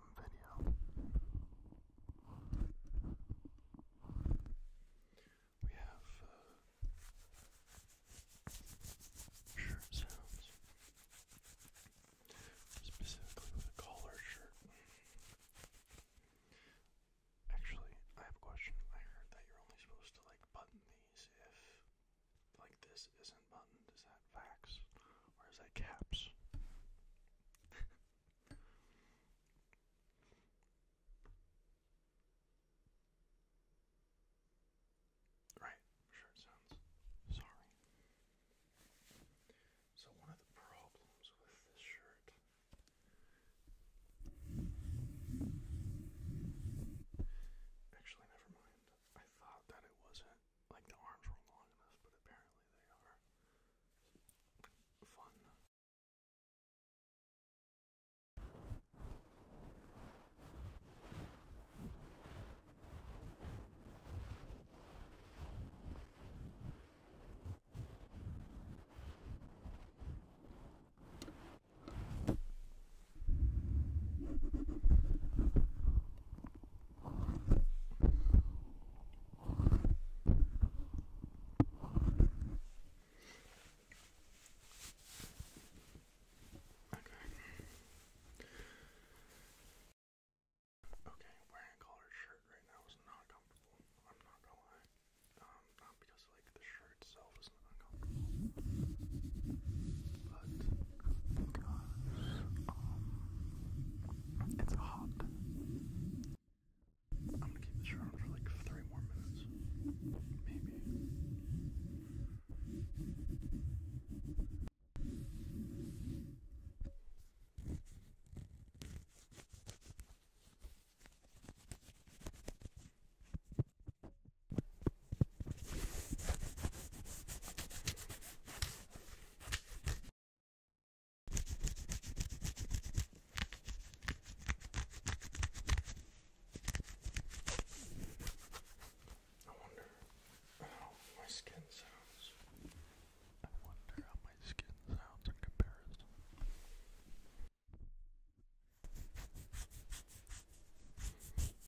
custom video. We have uh, shirt sounds, specifically with a collar shirt. Actually, I have a question. I heard that you're only supposed to like button these if like this isn't buttoned. Is that that Or is that Caps? right, i sounds sorry. So, one of the problems with this shirt actually, never mind. I thought that it wasn't like the arms weren't long enough, but apparently they are. Fun. Okay, wearing a collared shirt right now is not comfortable. I'm not gonna lie. Um, not because like the shirt itself is not uncomfortable, but because um, it's hot. I'm gonna keep this around for like three more minutes, maybe. I wonder how my skin sounds. I wonder how my skin sounds in comparison.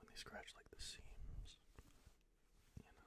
when they scratch like the seams, you know.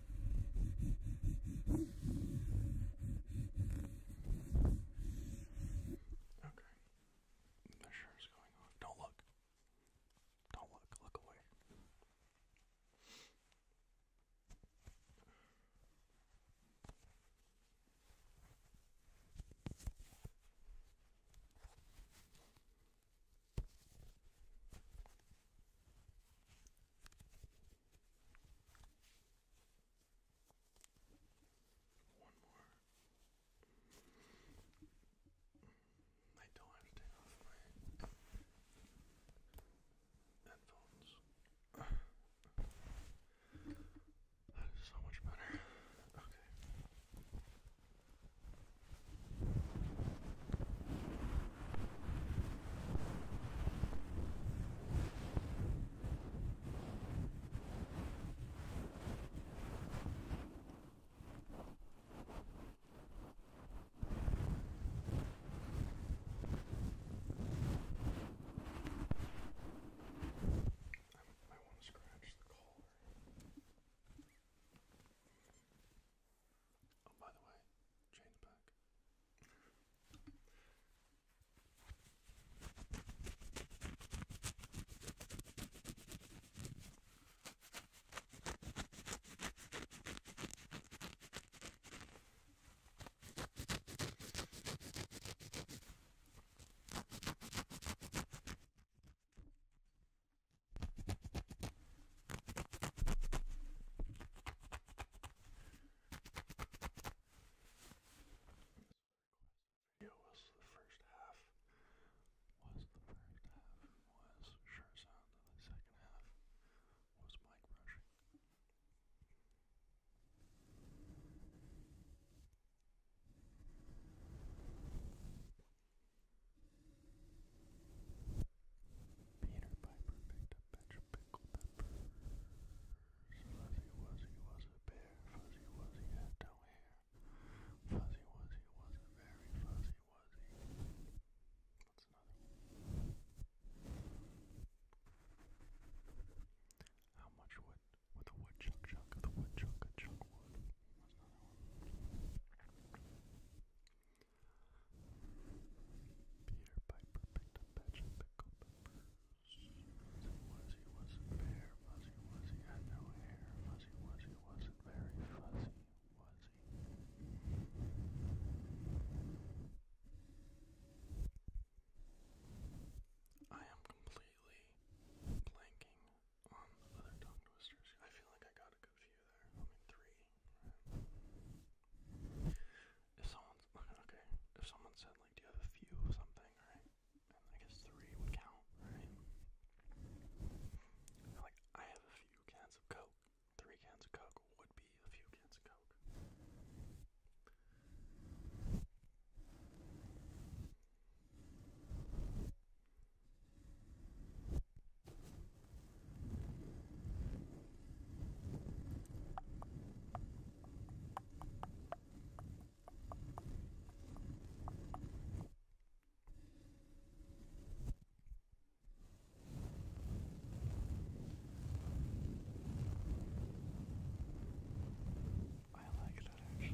Okay. Measure's going on. Don't look. Don't look. Look away. One more. I don't have to take off my headphones. That is so much better. Okay. I might want to scratch the collar. Oh, by the way, chain's back video was the first half was the first half was sure sound and the second half was mic brushing. Peter Piper picked a bunch of Fuzzy Wuzzy was a bear. Fuzzy Wuzzy had no hair. Fuzzy Wuzzy was very fuzzy wuzzy. What's another one? How much wood with a wood chuck chuck of the wood chuck wood? Peter Piper picked a batch of pickled peppers. Fuzzy wasn't bare, Fuzzy Wuzzy had no hair, Fuzzy Wuzzy wasn't very fuzzy, Wuzzy. I am completely blanking on other tongue twisters. I feel like I got a good few there. I mean, three. If someone's okay, if someone said like, "Do you have a few of something?" Right? I guess three would count, right? Like, I have a few cans of Coke. Three cans of Coke would be a few cans of Coke. I like that actually.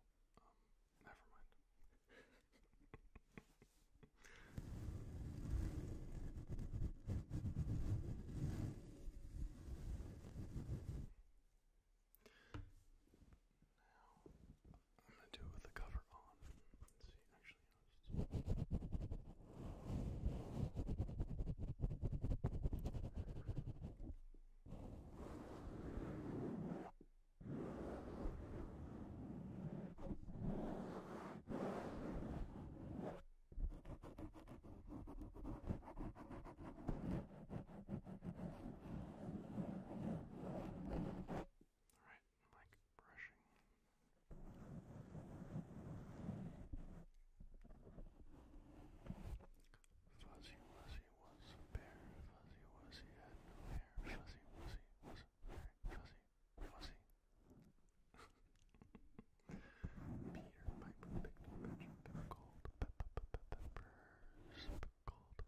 well. Um, never mind. I'm going to do it with the cover on. Let's see, actually, you all right, I'm like brushing. Fuzzy Wuzzy was bear. Fuzzy Wuzzy had no hair. Fuzzy Wuzzy was very fuzzy. Fuzzy. Peter Piper picked a bunch of pickled peppers. Pickled peppers.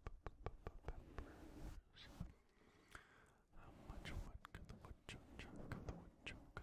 How much wood could the woodchuck chuck?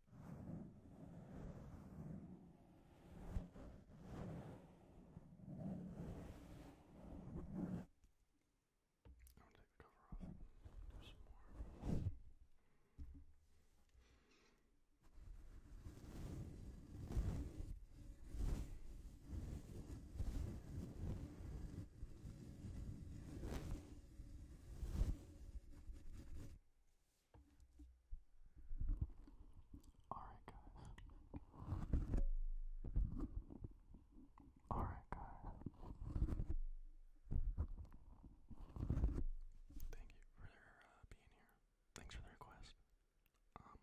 I'm gonna take the cover off. Do some more. Alright, guys. Alright, guys. Thank you for uh, being here. Thanks for the request. Um,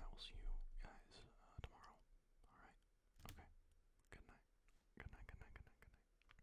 I will see you guys uh, tomorrow. All right. Okay. Good night. Good night. Good night. Good night. Good night.